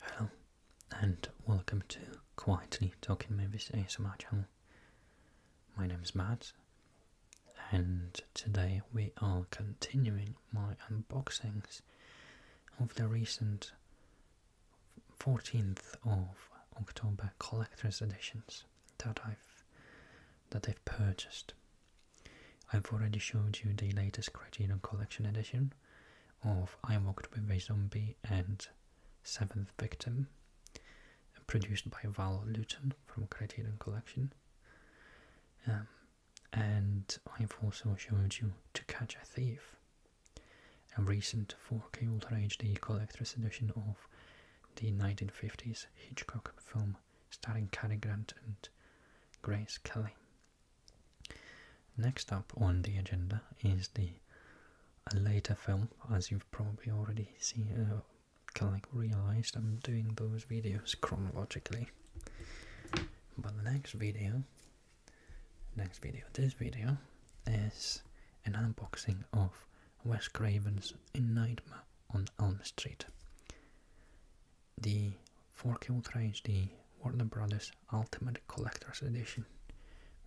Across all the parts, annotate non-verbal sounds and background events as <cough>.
Hello and welcome to Quietly Talking Movies ASMR channel. My name is Matt and today we are continuing my unboxings of the recent 14th of October collector's editions that I've that I've purchased. I've already showed you the latest Criterion Collection edition of I Walked with a Zombie and Seventh Victim, produced by Val Luton from Criterion Collection. Um, and I've also showed you To Catch a Thief, a recent 4K Ultra HD collector's edition of the 1950s Hitchcock film starring Cary Grant and Grace Kelly. Next up on the agenda is the later film, as you've probably already seen, uh, kind of realized I'm doing those videos chronologically. But the next video, next video, this video is an unboxing of Wes Craven's In Nightmare on Elm Street the 4K Ultra the Warner Brothers Ultimate Collector's Edition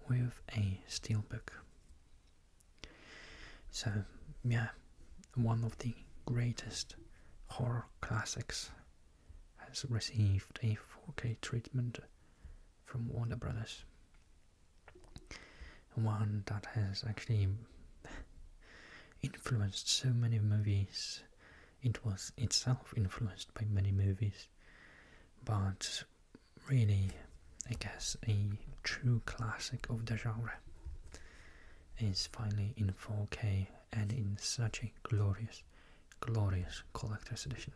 with a steelbook. So, yeah, one of the greatest horror classics has received a 4K treatment from Warner Brothers one that has actually influenced so many movies. It was itself influenced by many movies, but really, I guess, a true classic of the genre is finally in 4K and in such a glorious, glorious collector's edition.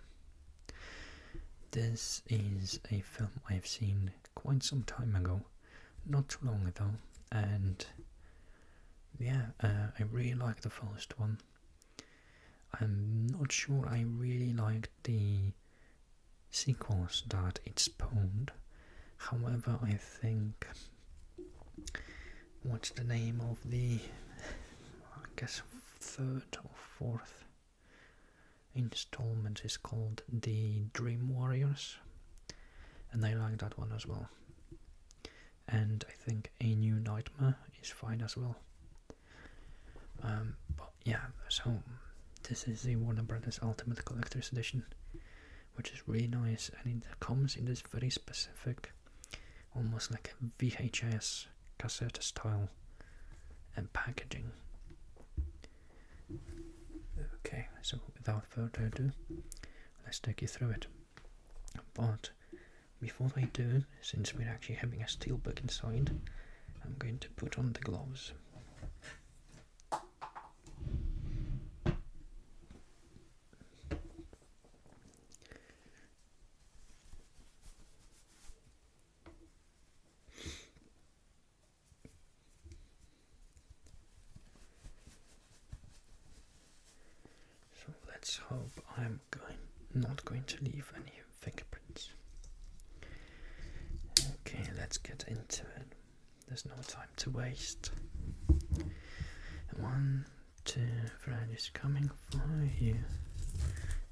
This is a film I've seen quite some time ago not too long ago, and yeah, uh, I really like the first one. I'm not sure I really like the sequels that it spawned. However, I think what's the name of the I guess third or fourth installment is called the Dream Warriors and I like that one as well. And I think A New Nightmare is fine as well. Um, but yeah, so this is the Warner Brothers Ultimate Collector's Edition, which is really nice, and it comes in this very specific, almost like a VHS cassette style and packaging. Okay, so without further ado, let's take you through it. But before I do, since we're actually having a steel book inside, I'm going to put on the gloves. So let's hope I'm going not going to leave any fingerprints. Okay, let's get into it. There's no time to waste. One, two, Fred is coming for you.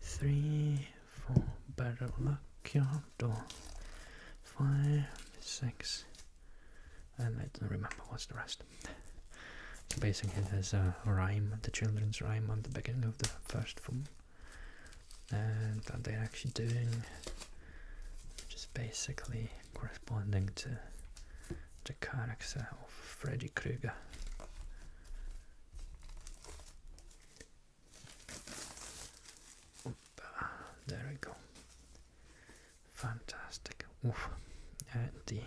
Three, four, better luck your door. Five, six, and I don't remember what's the rest. so basically, there's a rhyme, the children's rhyme, on the beginning of the first film, and that they're actually doing, just basically corresponding to the character of Freddy Krueger. Ah, there we go fantastic. Oof. Uh, the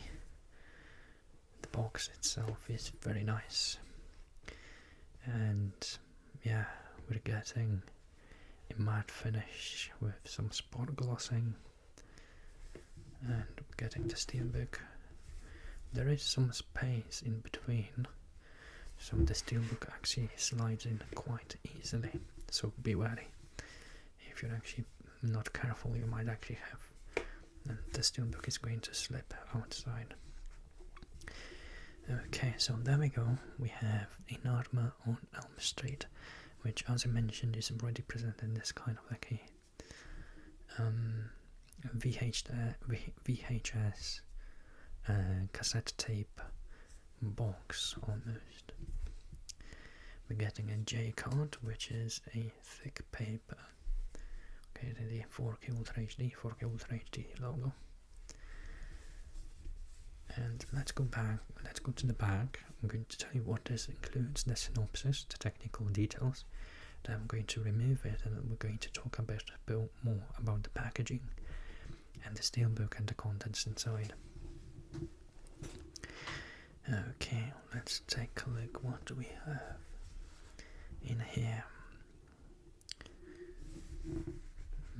the box itself is very nice, and yeah, we're getting a matte finish with some spot glossing, and getting the steelbook. There is some space in between, so the steelbook actually slides in quite easily. So be wary. If you're actually not careful, you might actually have, and uh, the book is going to slip outside. Okay, so there we go. We have Inarma on Elm Street, which, as I mentioned, is already presented in this kind of like a um, VHS uh, uh, cassette tape box almost. We're getting a J card, which is a thick paper. Okay, the 4K Ultra HD, 4K Ultra HD logo. And let's go back, let's go to the back. I'm going to tell you what this includes, the synopsis, the technical details. Then I'm going to remove it and we're going to talk a bit more about the packaging and the steelbook and the contents inside. Okay, let's take a look what do we have in here.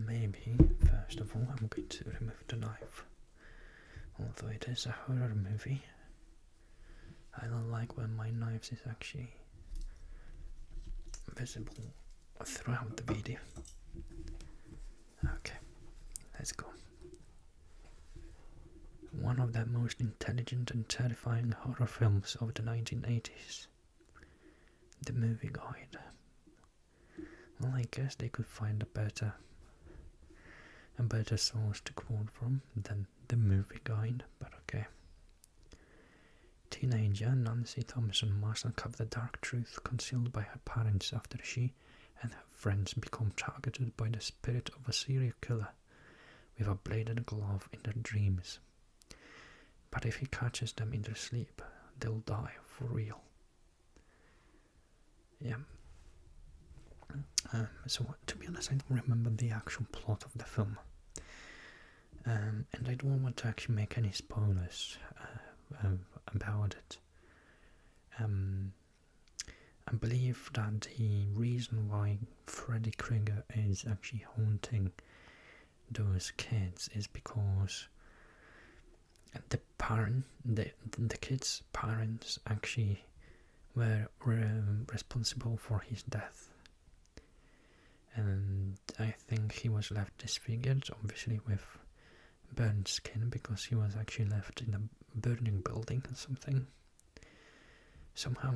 Maybe, first of all, I'm going to remove the knife. Although it is a horror movie, I don't like when my knife is actually visible throughout the video. Okay, let's go. One of the most intelligent and terrifying horror films of the 1980s. The Movie Guide. Well, I guess they could find a better, a better source to quote from than The Movie Guide, but okay. Teenager Nancy Thompson must uncover the dark truth concealed by her parents after she and her friends become targeted by the spirit of a serial killer with a bladed glove in their dreams. But if he catches them in their sleep, they'll die for real. Yeah. Um, so, to be honest, I don't remember the actual plot of the film. Um, and I don't want to actually make any spoilers uh, um, about it. I um, believe that the reason why Freddy Krueger is actually haunting those kids is because the parent, the the kids' parents actually were um, responsible for his death, and I think he was left disfigured, obviously with burned skin because he was actually left in a burning building or something. Somehow,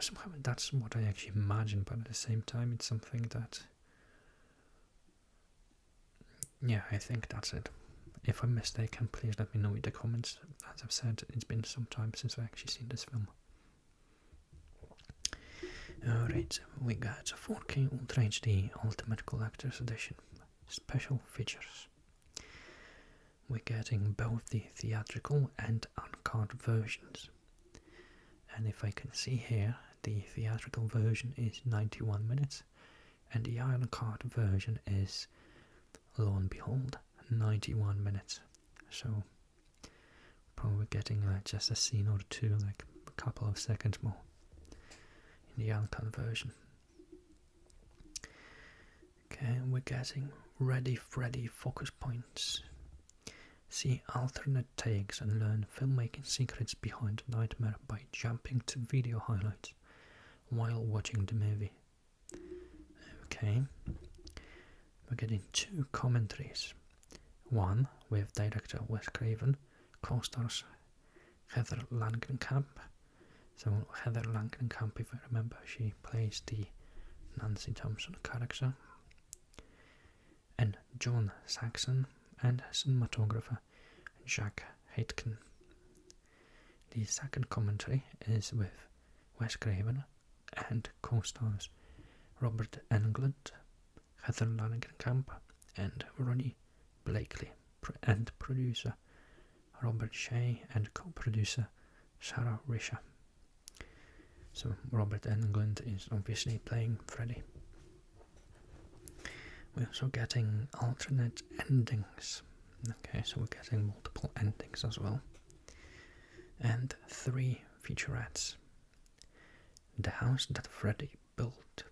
somehow that's what I actually imagine, but at the same time, it's something that. Yeah, I think that's it. If I'm mistaken, please let me know in the comments. As I've said, it's been some time since I've actually seen this film. Alright, so we got the 4K Ultra HD Ultimate Collector's Edition special features. We're getting both the theatrical and uncut versions. And if I can see here, the theatrical version is 91 minutes and the uncut version is, lo and behold, 91 minutes. So, probably getting just a scene or two, like a couple of seconds more in the Anglican version. Okay, we're getting ready Freddy focus points. See alternate takes and learn filmmaking secrets behind Nightmare by jumping to video highlights while watching the movie. Okay, we're getting two commentaries. One with director Wes Craven co-stars Heather Langenkamp. So Heather Langenkamp, if I remember, she plays the Nancy Thompson character. And John Saxon and cinematographer Jack Aitken. The second commentary is with Wes Craven and co-stars Robert Englund, Heather Lanigan Camper, and Ronnie Blakely, and producer Robert Shea, and co producer Sarah Risha. So, Robert England is obviously playing Freddy. We're also getting alternate endings. Okay, so we're getting multiple endings as well. And three featurettes. The house that Freddy built.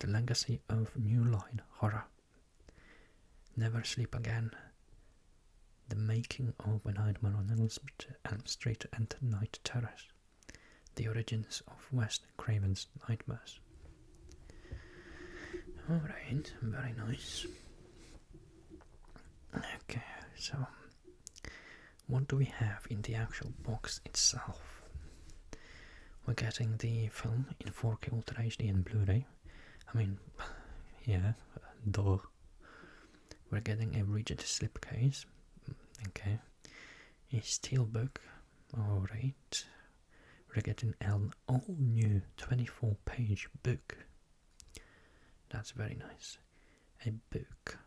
The legacy of New Line horror. Never Sleep Again. The making of a Nightmare on Elm Street and Night Terrors. The origins of West Craven's Nightmares. Alright, very nice. Okay, so what do we have in the actual box itself? We're getting the film in 4K Ultra HD and Blu-ray. I mean, <sighs> yeah, <laughs> duh. We're getting a rigid slipcase, mm, okay, a book. alright. We're getting an all-new 24-page book. That's very nice a book,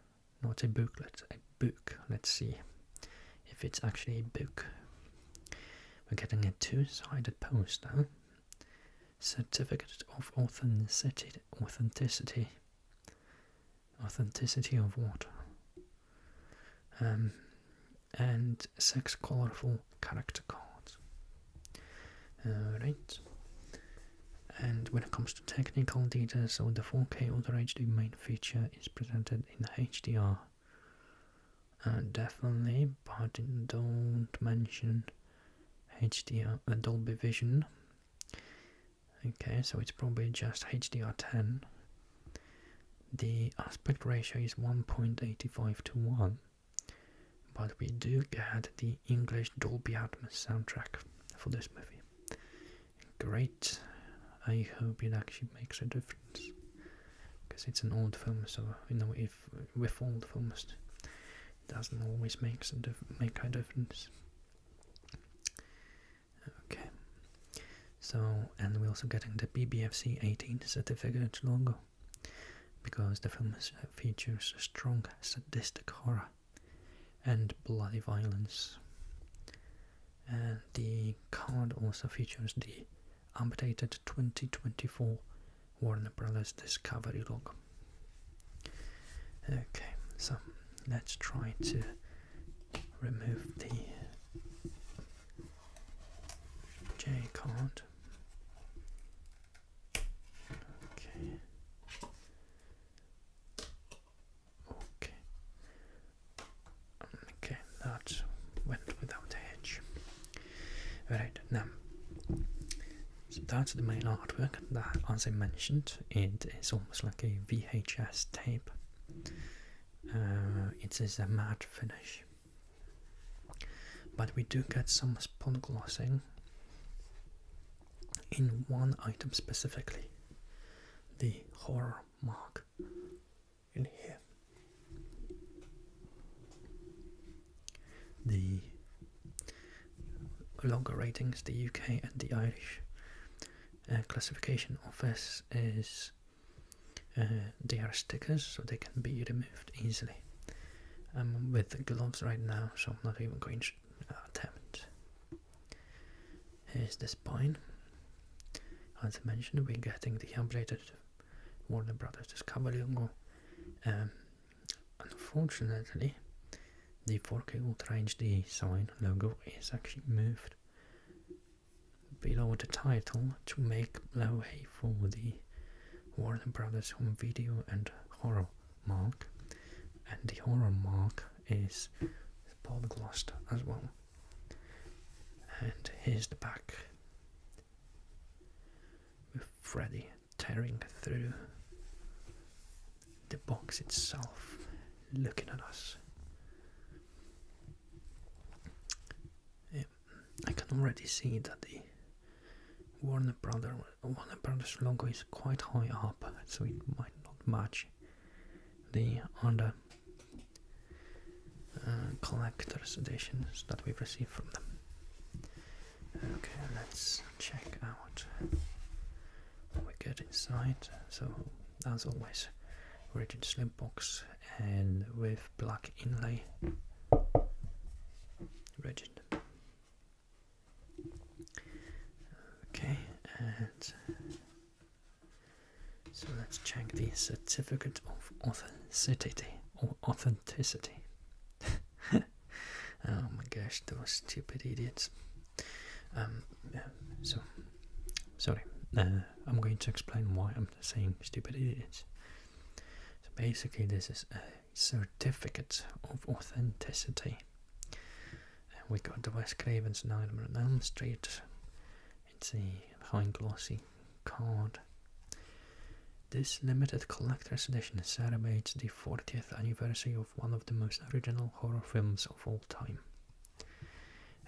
not a booklet, a book. Let's see if it's actually a book. We're getting a two-sided poster. Certificate of authenticity. Authenticity. Authenticity of what? Um, and six colorful character cards. Alright. And when it comes to technical details, so the 4K Ultra HD main feature is presented in HDR. Uh, definitely, but don't mention HDR uh, Dolby Vision. Okay, so it's probably just HDR10. The aspect ratio is 1.85 to 1, but we do get the English Dolby Atmos soundtrack for this movie. Great. I hope it actually makes a difference because it's an old film, so you know if with old films, doesn't always makes a make a difference. Okay. So and we're also getting the BBFC 18 certificate logo because the film features strong sadistic horror and bloody violence. And the card also features the amputated 2024 Warner Brothers Discovery log. Okay, so let's try to remove the J card. Okay. Okay. Okay, that went without a hitch. Alright, now so that's the main artwork that as I mentioned it is almost like a VHS tape. Uh, it is a matte finish. But we do get some spot glossing in one item specifically the horror mark in here. The longer ratings, the UK and the Irish uh, classification office is uh, they are stickers so they can be removed easily. I'm um, with gloves right now so I'm not even going to it. Here's the spine. As I mentioned, we're getting the updated Warner Brothers Discovery logo. Um, unfortunately, the 4K Ultra HD sign logo is actually moved below the title to make way for the Warner Brothers home video and horror mark. And the horror mark is polyglossed as well. And here's the back with Freddy tearing through the box itself, looking at us. I can already see that the Warner Brothers logo is quite high up, so it might not match the other uh, collector's editions that we've received from them. Okay, let's check out what we get inside. So, as always, rigid slim box and with black inlay. Rigid. Okay, and so let's check the certificate of authenticity or authenticity. <laughs> oh my gosh, those stupid idiots. Um, so sorry, uh, I'm going to explain why I'm saying stupid idiots. So basically, this is a certificate of authenticity and we got the West Cravens now we Elm Street. It's a high glossy card. This limited collector's edition celebrates the 40th anniversary of one of the most original horror films of all time.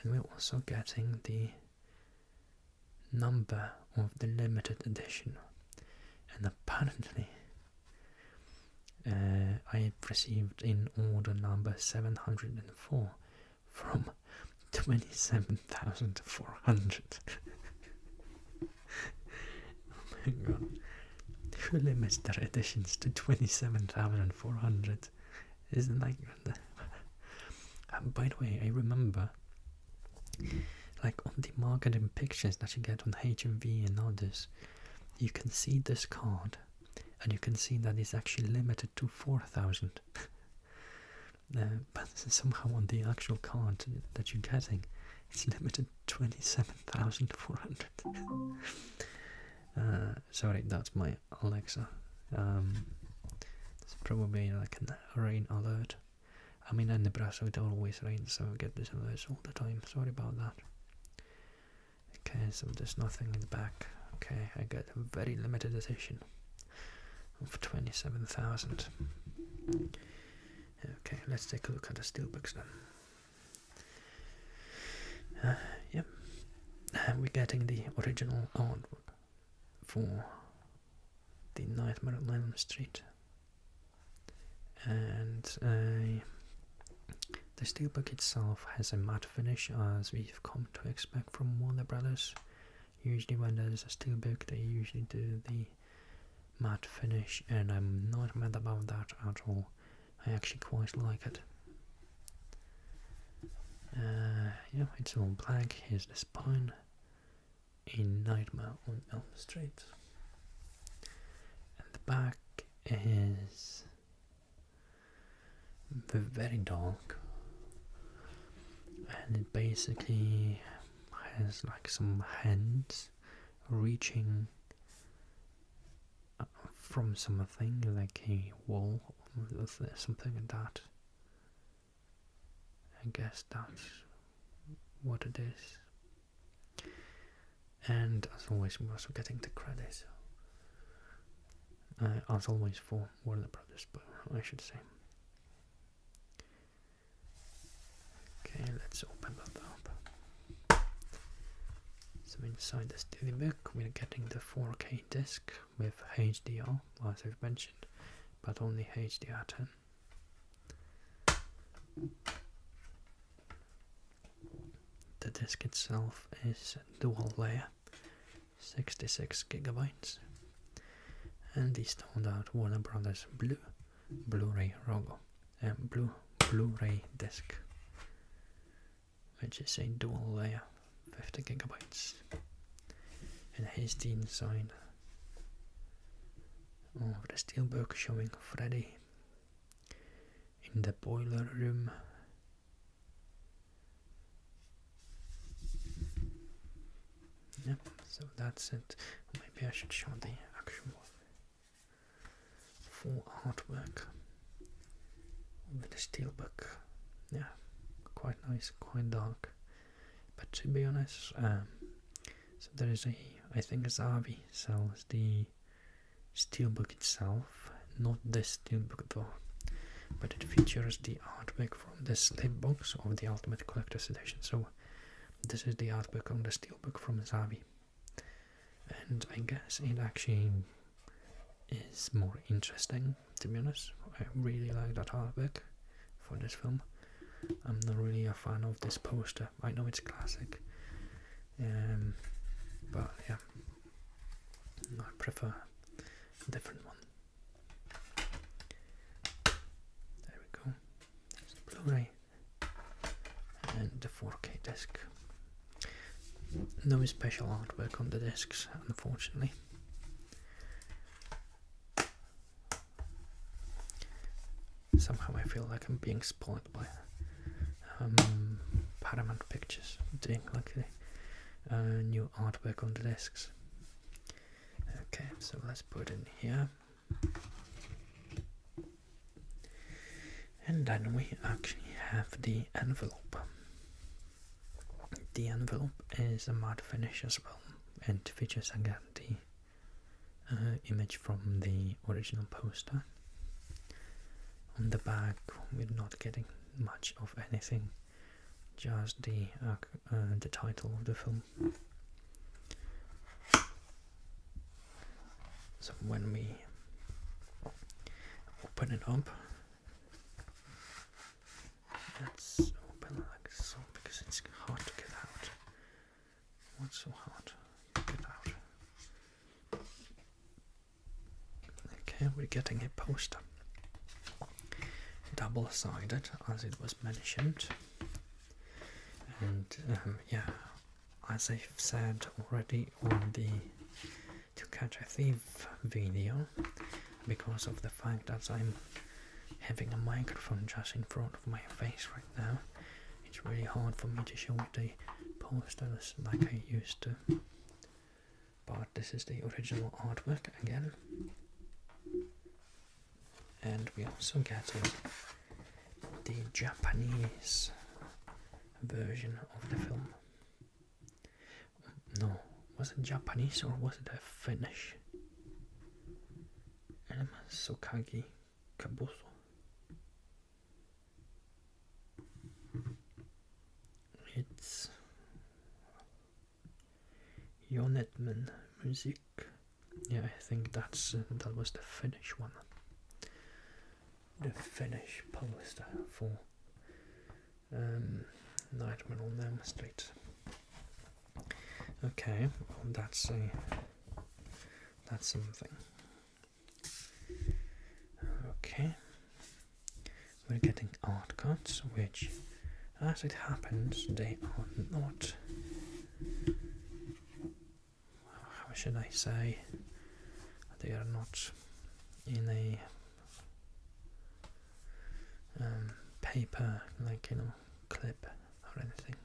And we're also getting the number of the limited edition. And apparently uh, I received in order number 704 from 27,400. oh my god. Who limits their editions to 27,400? Isn't like. <laughs> by the way, I remember. Like on the marketing pictures that you get on HMV and others, you can see this card and you can see that it's actually limited to 4000 <laughs> but somehow on the actual card that you're getting it's limited 27400 <laughs> uh, sorry that's my alexa um, it's probably like a rain alert i mean in nebraska it always rains so i get this alert all the time sorry about that Okay, so there's nothing in the back. Okay, I get a very limited edition of 27,000. Okay, let's take a look at the steelbooks then. now. Uh, yep, uh, we're getting the original artwork for the Nightmare on Elm Street and the steelbook itself has a matte finish as we've come to expect from Warner Brothers. Usually when there's a steelbook they usually do the matte finish and I'm not mad about that at all. I actually quite like it. Uh, yeah, it's all black. Here's the spine in Nightmare on Elm Street. And the back is very dark and it basically has like some hands reaching uh, from something like a wall or something like that. I guess that's what it is and as always we're also getting the credit uh, as always for Warner Brothers but I should say okay let's open that up so inside this daily book we're getting the 4k disc with HDR as I've mentioned but only HDR10 the disk itself is dual layer, 66 gigabytes, and this turned out Warner Brothers Blue Blu-ray logo, and Blue Blu-ray disc, which is a dual layer, 50 gigabytes. And here's the inside of the steelbook showing Freddy in the boiler room. Yeah, so that's it. Maybe I should show the actual full artwork with the steel book. Yeah, quite nice, quite dark. But to be honest, um, so there is a, I think Zavi sells the steelbook itself, not the steelbook though, but it features the artwork from the slip box of the Ultimate Collector's Edition. So this is the artwork on the steelbook from Zavi, and I guess it actually is more interesting to be honest. I really like that artwork for this film. I'm not really a fan of this poster. I know it's classic, um, but yeah, I prefer a different one. There we go. There's the Blu-ray and the 4K disc. No special artwork on the discs, unfortunately. Somehow I feel like I'm being spoiled by um, Paramount Pictures. Doing luckily uh, new artwork on the discs. Okay, so let's put in here, and then we actually have the envelope. The envelope is a matte finish as well, and features again the uh, image from the original poster on the back we're not getting much of anything just the uh, uh, the title of the film so when we open it up let's open like so because it's hard to get out what's so hard to get out Okay, we're getting a poster. Double sided, as it was mentioned. And um, yeah, as I've said already on the To Catch a Thief video, because of the fact that I'm having a microphone just in front of my face right now, it's really hard for me to show the posters like I used to. But this is the original artwork again. And we also get the Japanese version of the film. No, was it Japanese or was it a Finnish? so Sukagi. Cabozo. It's Jon music. Yeah, I think that's uh, that was the Finnish one. The Finnish publisher for um, Nightmare on Elm Street. Okay, that's a that's something. Okay, we're getting art cuts, which, as it happens, they are not. How should I say? They are not in a um, paper, like you know, clip or anything.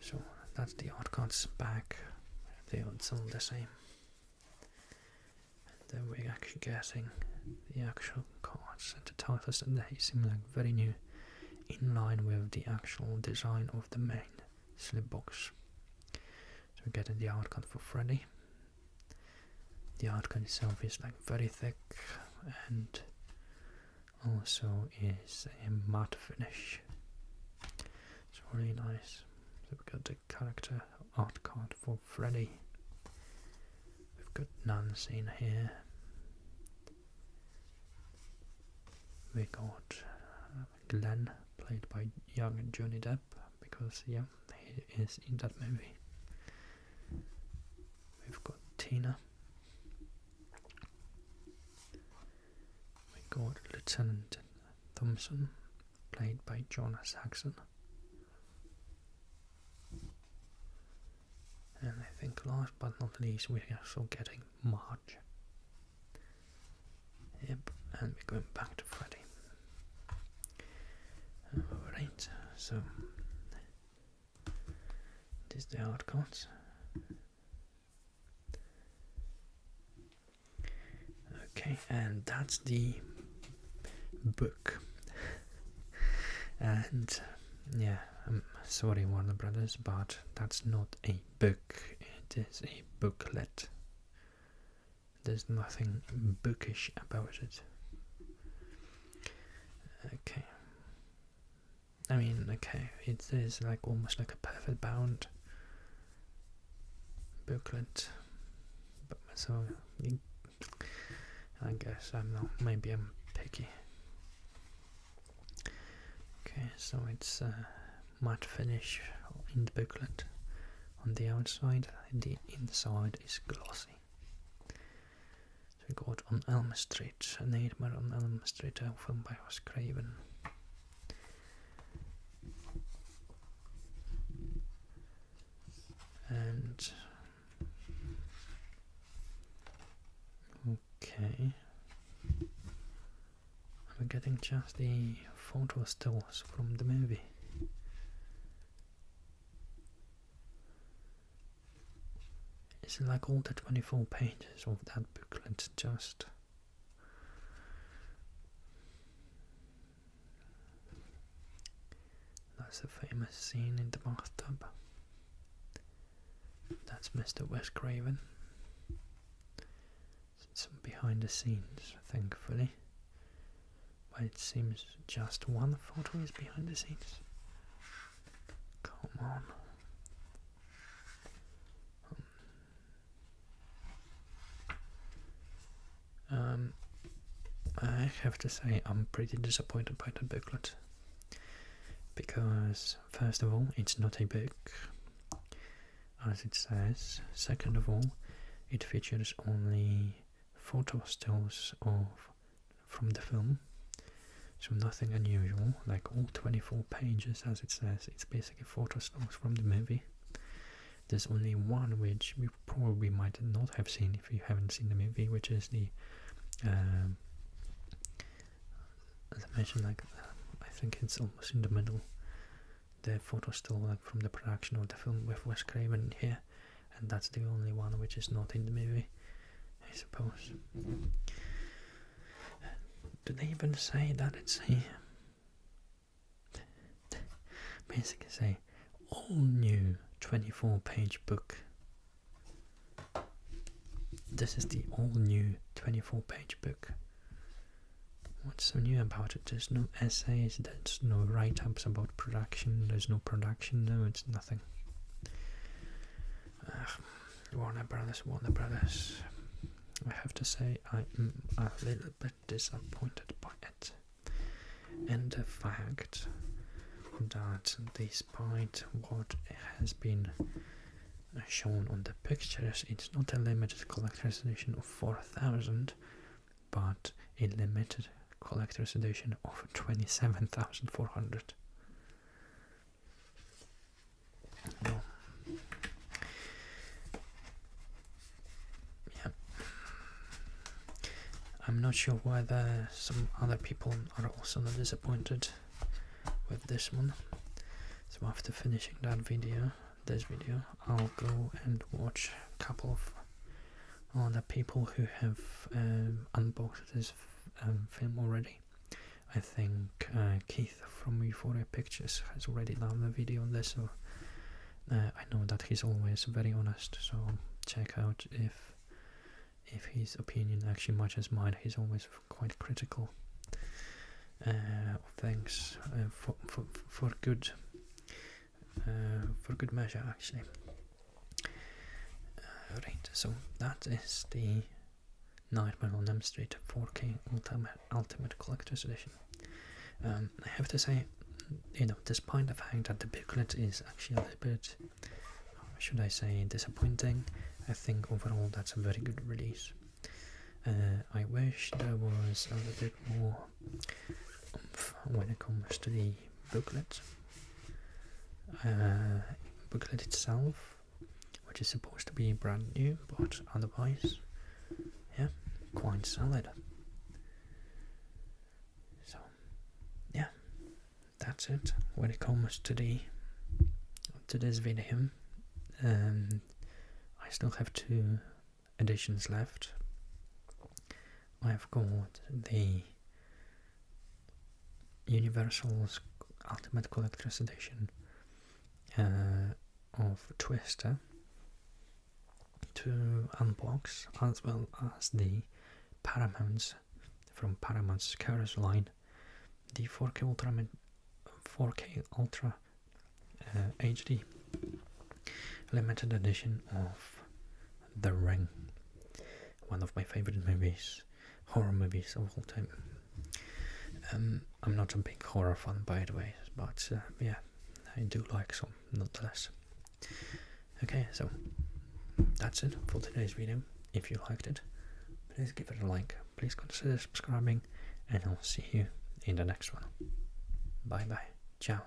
So that's the art cards back, they all seem the same. And then we're actually getting the actual cards and the titles, and they seem like very new, in line with the actual design of the main slip box. So we're getting the art card for Freddy. The art card itself is like very thick and also is a matte finish. It's really nice. So we've got the character art card for Freddy. We've got Nancy seen here. We got uh, Glenn, played by young Johnny Depp, because yeah, he is in that movie. We've got Tina. We got Lieutenant Thompson, played by John Saxon. And I think last but not least, we're also getting Marge. Yep, and we're going back to Freddy. Alright, so this is the hard cards. Okay, and that's the book. and yeah, I'm sorry, Warner Brothers, but that's not a book, it is a booklet. There's nothing bookish about it. Okay. I mean, okay, it is like almost like a perfect bound booklet, so I guess I'm not. Maybe I'm picky. Okay, so it's uh, matte finish in the booklet on the outside, the inside is glossy. So we got on Elm Street, a nightmare on Elm Street, a film by Wes Craven and okay I'm getting just the photo stills from the movie it's like all the 24 pages of that booklet just. That's the famous scene in the bathtub. That's Mr. West Craven. Some behind the scenes, thankfully. But it seems just one photo is behind the scenes. Come on. Um, I have to say I'm pretty disappointed by that booklet because first of all it's not a book as it says, second of all it features only photo stills of from the film so nothing unusual, like all 24 pages as it says, it's basically photos from the movie. There's only one which we probably might not have seen if you haven't seen the movie, which is the, um, as I mentioned, like I think it's almost in the middle, the photo still like from the production of the film with Wes Craven here, and that's the only one which is not in the movie, I suppose. Do they even say that it's a basically a all new 24 page book? This is the all new 24 page book. What's so new about it? There's no essays, there's no write ups about production, there's no production, no, it's nothing. Warner Brothers, Warner Brothers. I have to say, I am a little bit disappointed by it, In the fact that despite what has been shown on the pictures, it's not a limited collector's edition of 4000, but a limited collector's edition of 27,400. I'm not sure whether some other people are also not disappointed with this one. So after finishing that video, this video, I'll go and watch a couple of other people who have um, unboxed this um, film already I think uh, Keith from Euphoria Pictures has already done a video on this, so uh, I know that he's always very honest. So check out if if his opinion actually matches mine. He's always quite critical uh, of things uh, for, for for good for good measure actually. All right, so that is the Nightmare on Elm Street 4K Ultimate, Collector's Edition. Um, I have to say, you know, despite the fact that the booklet is actually a little bit, should I say, disappointing, I think overall that's a very good release. Uh, I wish there was a little bit more when it comes to the booklet. Uh, booklet itself, which is supposed to be brand new, but otherwise, yeah, quite solid. So, yeah, that's it when it comes to the to video. Um, I still have two editions left. I've got the Universal's Ultimate Collector's Edition uh, of Twister to unbox, as well as the Paramounts from Paramount's Curse line, the 4K Ultra, 4K Ultra HD uh, limited edition of The Ring, one of my favorite movies horror movies all the time. Um, I'm not a big horror fan, by the way, but uh, yeah, I do like some nonetheless. Okay, so that's it for today's video. If you liked it, please give it a like, please consider subscribing, and I'll see you in the next one. Bye bye. Ciao.